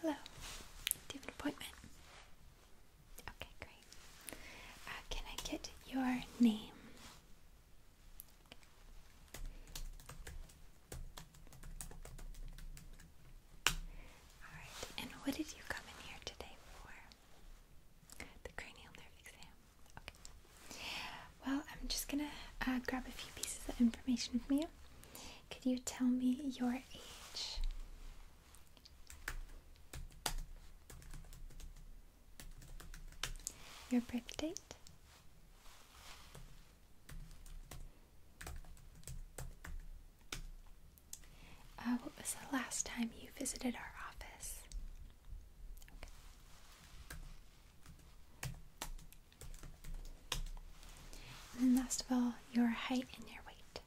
Hello. Do you have an appointment? Okay, great. Uh, can I get your name? Alright, and what did you come in here today for? The cranial nerve exam. Okay. Well, I'm just gonna uh, grab a few pieces of information from you. Could you tell me your age? Your birth date? Uh, what was the last time you visited our office? And last of all, your height and your weight.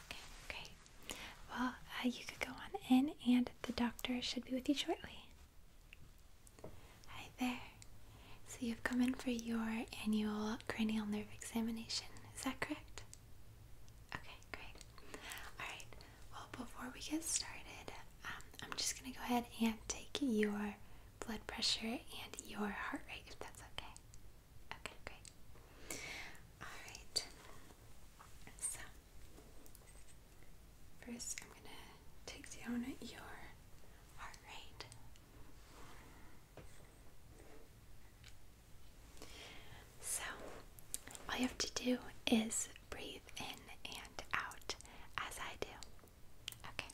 Okay, okay. Well, uh, you could go on in, and the doctor should be with you shortly. Hi there. So you've come in for your annual cranial nerve examination, is that correct? Okay, great. Alright, well, before we get started, um, I'm just going to go ahead and take your blood pressure and your heart rate if that's okay. Okay, great. Alright, so first I'm going to take down your heart rate. So, all you have to do is breathe in and out as I do. Okay.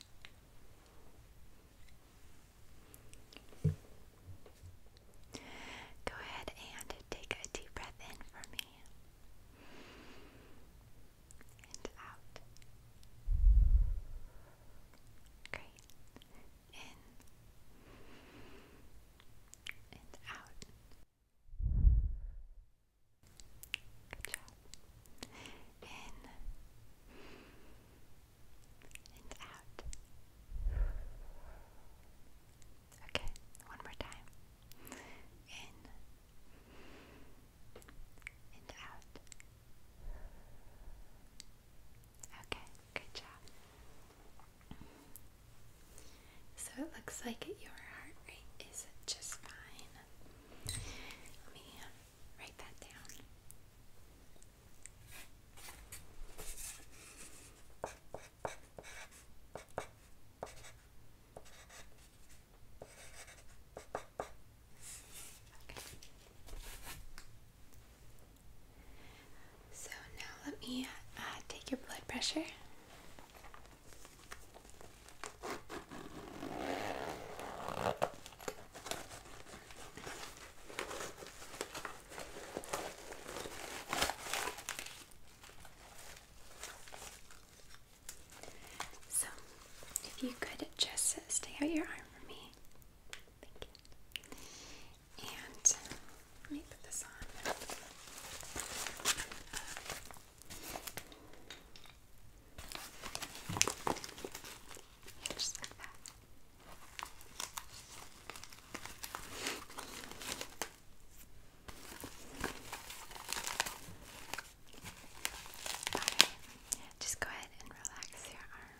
Go ahead and take a deep breath in for me. And out. Great. In and out. Good job. In and out. Okay, one more time. In and out. Okay, good job. So it looks like your heart rate is just fine. Let me um, write that down. So now let me uh, take your blood pressure. So, if you could just stay your arm for me. And uh, let me put this on. Just like that. just go ahead and relax your arm.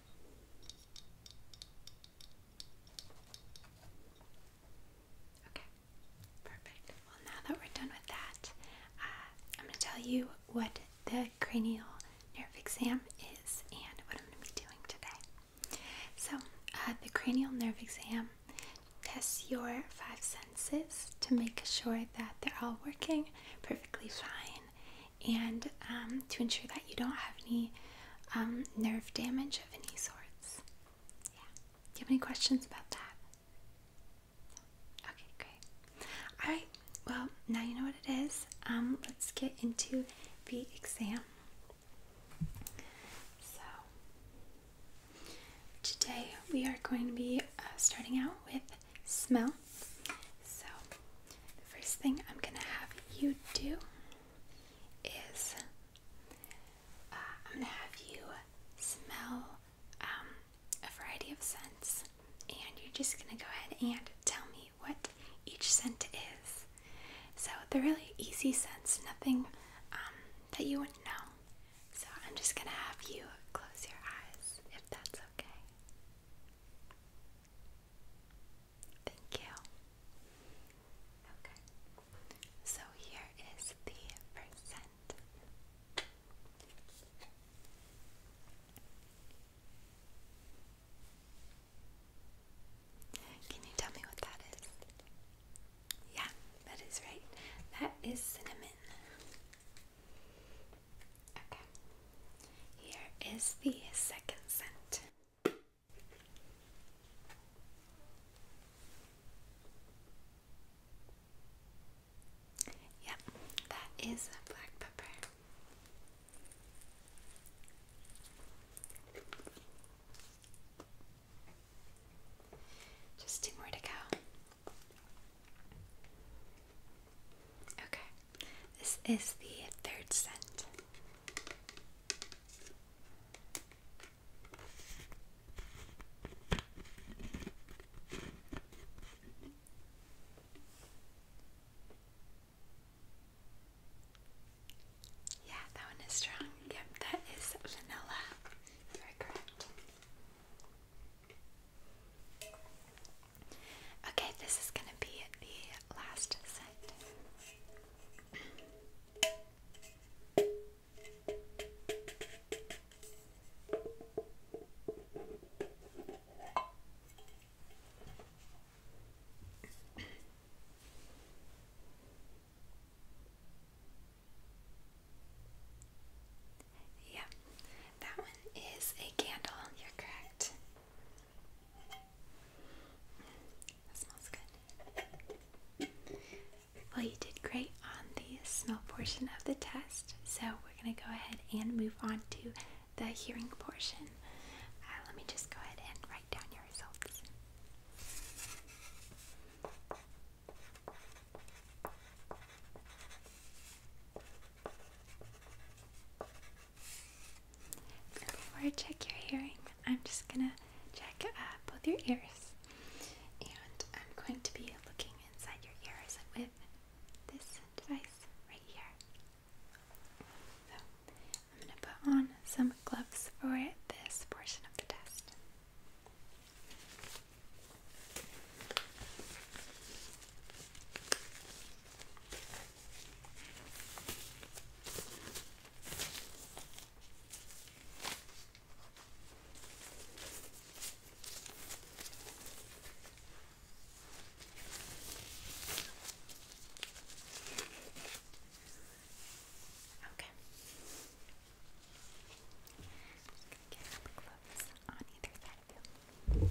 Okay, perfect. Well, now that we're done with that, uh, I'm going to tell you what the cranial nerve exam is and what I'm going to be doing today. So, uh, the cranial nerve exam tests your five senses to make sure that they're all working perfectly fine and um, to ensure that you don't have any um, nerve damage of any sorts. Yeah. Do you have any questions about that? Okay, great. All right. Well, now you know what it is. Um, let's get into the exam. So today we are going to be uh, starting out with smell. So the first thing I'm gonna have you do is uh, I'm gonna have you smell um, a variety of scents, and you're just gonna go ahead and tell me what each scent is. So they're really easy scents, nothing um, that you wouldn't know. So I'm just gonna have you close your eyes if that's okay. Thank you. Okay. So here is the percent. Can you tell me what that is? Yeah, that is right. That is cinnamon. Okay. Here is the second scent. Yep, that is black pepper. Just two more to go. Okay. This is the third scent. Yeah, that one is strong. Yep, that is vanilla. Very correct. Okay, this is going to be the last scent. Yeah, that one is a candle, you're correct. Well, you did great on the smell portion of the test, so we're going to go ahead and move on to the hearing portion. Uh, let me just go ahead and write down your results before I check your hearing, I'm just gonna check uh, both your ears. And I'm going to be looking inside your ears with this device right here. So I'm gonna put on some gloves for this portion of the test. Okay. Just gonna get up close on either side of you.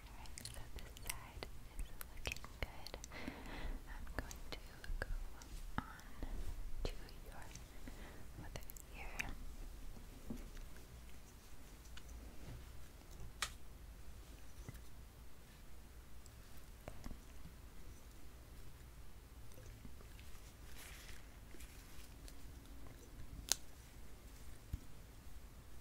Alright, so this side is looking good. I'm going to go on to your other ear.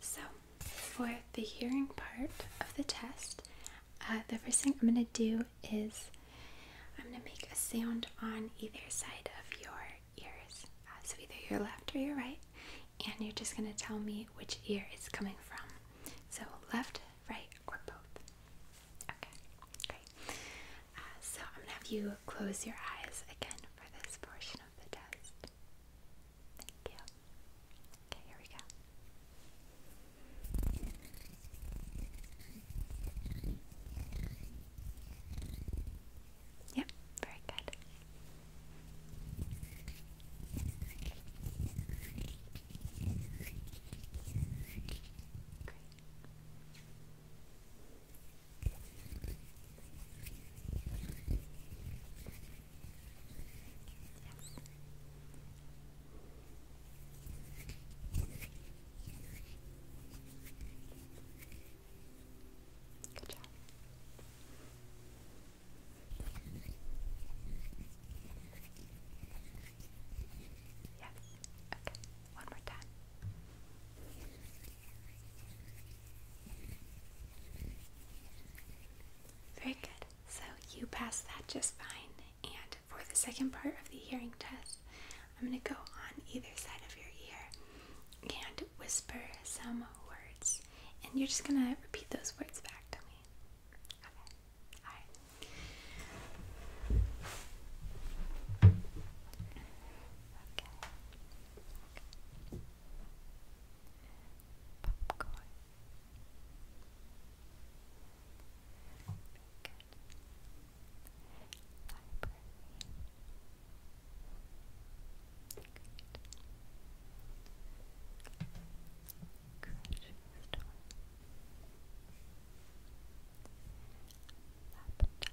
So, for the hearing part of the test, uh, the first thing I'm going to do is I'm going to make a sound on either side of your ears. Uh, so, either your left or your right. And you're just going to tell me which ear it's coming from. So, left, right, or both. Okay, great. Uh, so, I'm going to have you close your eyes again for this portion of the test. Thank you. Okay, here we go. Yep, very good. Great. Good job. Yes. Okay. One more time. Very good. So you passed that just fine. And for the second part of the hearing test, I'm going to go on either side of your ear and whisper some words. And you're just going to repeat those words back to me popcorn. Very good. Library. Great. Grocery store. Laptop. Laptop.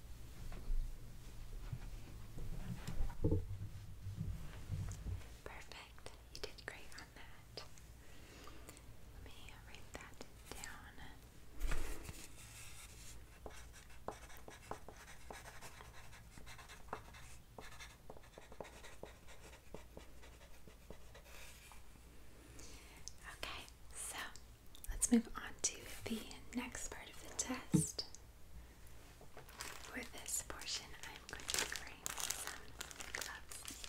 Perfect. You did great on that. Let me write that down. Okay, so let's move on to the next part of the test. For this portion, I'm going to bring some gloves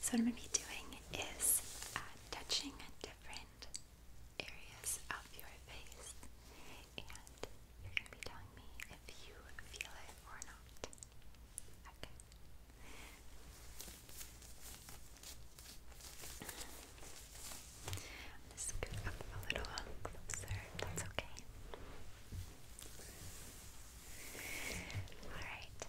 so what I'm going to be doing is uh, touching different areas of your face, and you're going to be telling me if you feel it or not. Okay. Just get up a little closer. That's okay. All right. Great.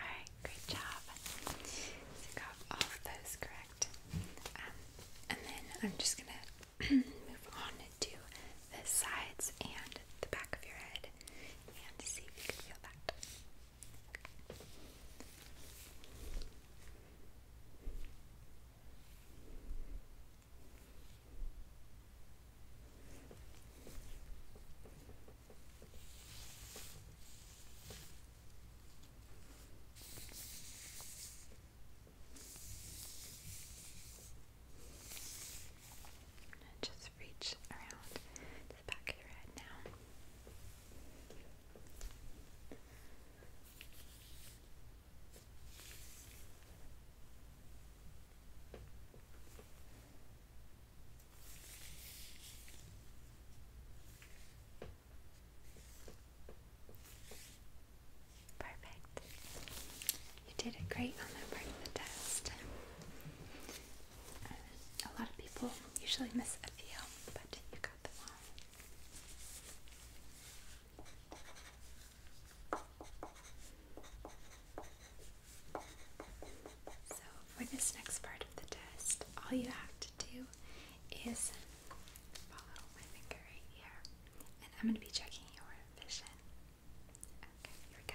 Alright, great job. So you got those correct. Um, and then I'm just gonna move on to the sides and the back of your head and see if you can feel that. And just reach around the back of your head now. Perfect. You did it great on that part of the test. Uh, a lot of people usually miss a few, but you got them all. So, for this next part of the test, all you have to do is follow my finger right here, and I'm going to be checking your vision. Okay, here we go.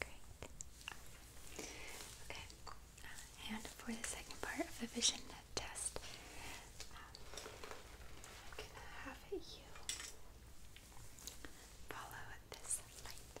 Great. Okay, uh, and for the second part of the vision test, um, I'm gonna have you follow this light.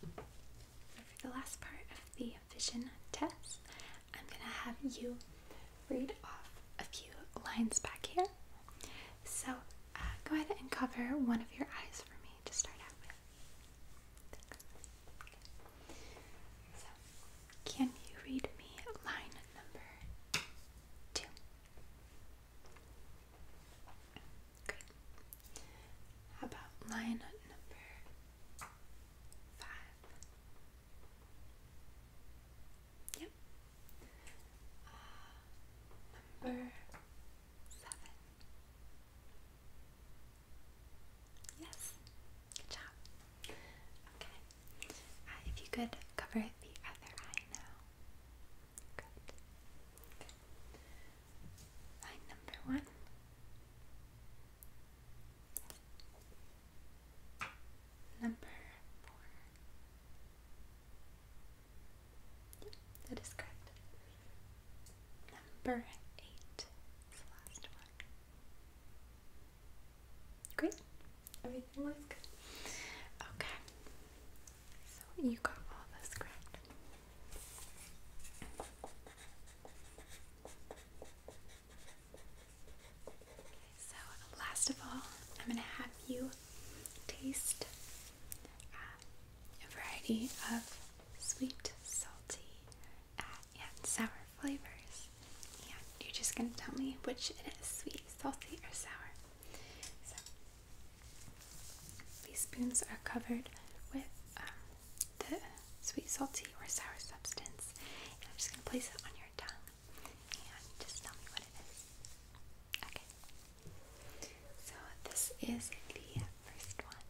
For the last part of the vision test, I'm going to have you read off a few lines back here. So uh, go ahead and cover one of your eyes for me to start out with. can you read me line number two? How about line number five? Yep. Uh, number seven. Yes. Good job. Okay. Uh, if you could cover the other eye now. Good. Line number one. Number four. Yep, that is correct. Number eight the last one. Great. Everything looks good. Okay. So you got all this script. so last of all, I'm gonna have you taste uh, a variety of sweet, salty, uh, and sour flavors. And you're just gonna tell me which it is, sweet, salty, or sour. These spoons are covered with um, the sweet, salty, or sour substance. I'm just going to place it on your tongue and just tell me what it is. Okay. So this is the first one.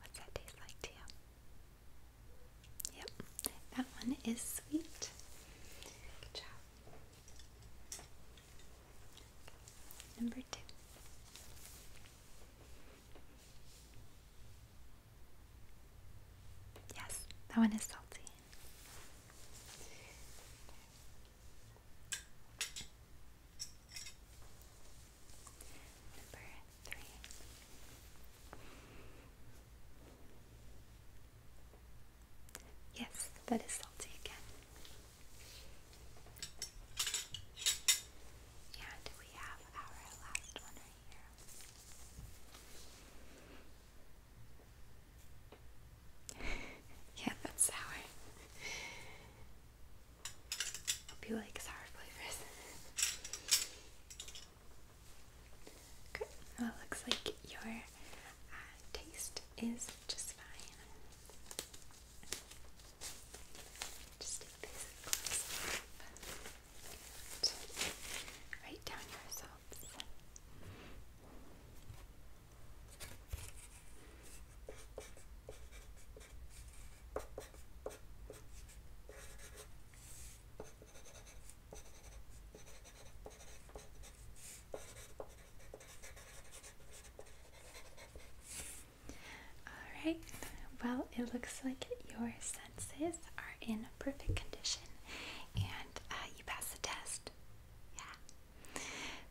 What's that taste like to you? Yep, that one is sweet. Good job. Number two. Yes, that one is salty. Number three. Yes, that is salty again. And we have our last one right here. yeah, that's sour. Hope you like sour flavors. Good. Well, it looks like your uh, taste is just fine. Just take this glass write down your results. Alright, well, it looks like your senses are in perfect condition and uh, you pass the test. Yeah.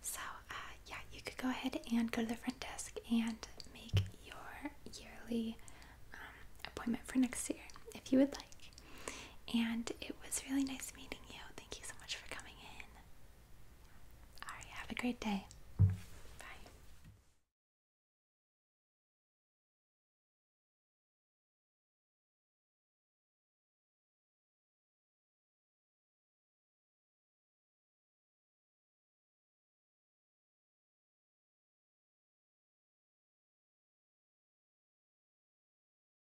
So, uh, yeah, you could go ahead and go to the front desk and make your yearly um, appointment for next year if you would like. And it was really nice meeting you. Thank you so much for coming in. All right, have a great day. Bye.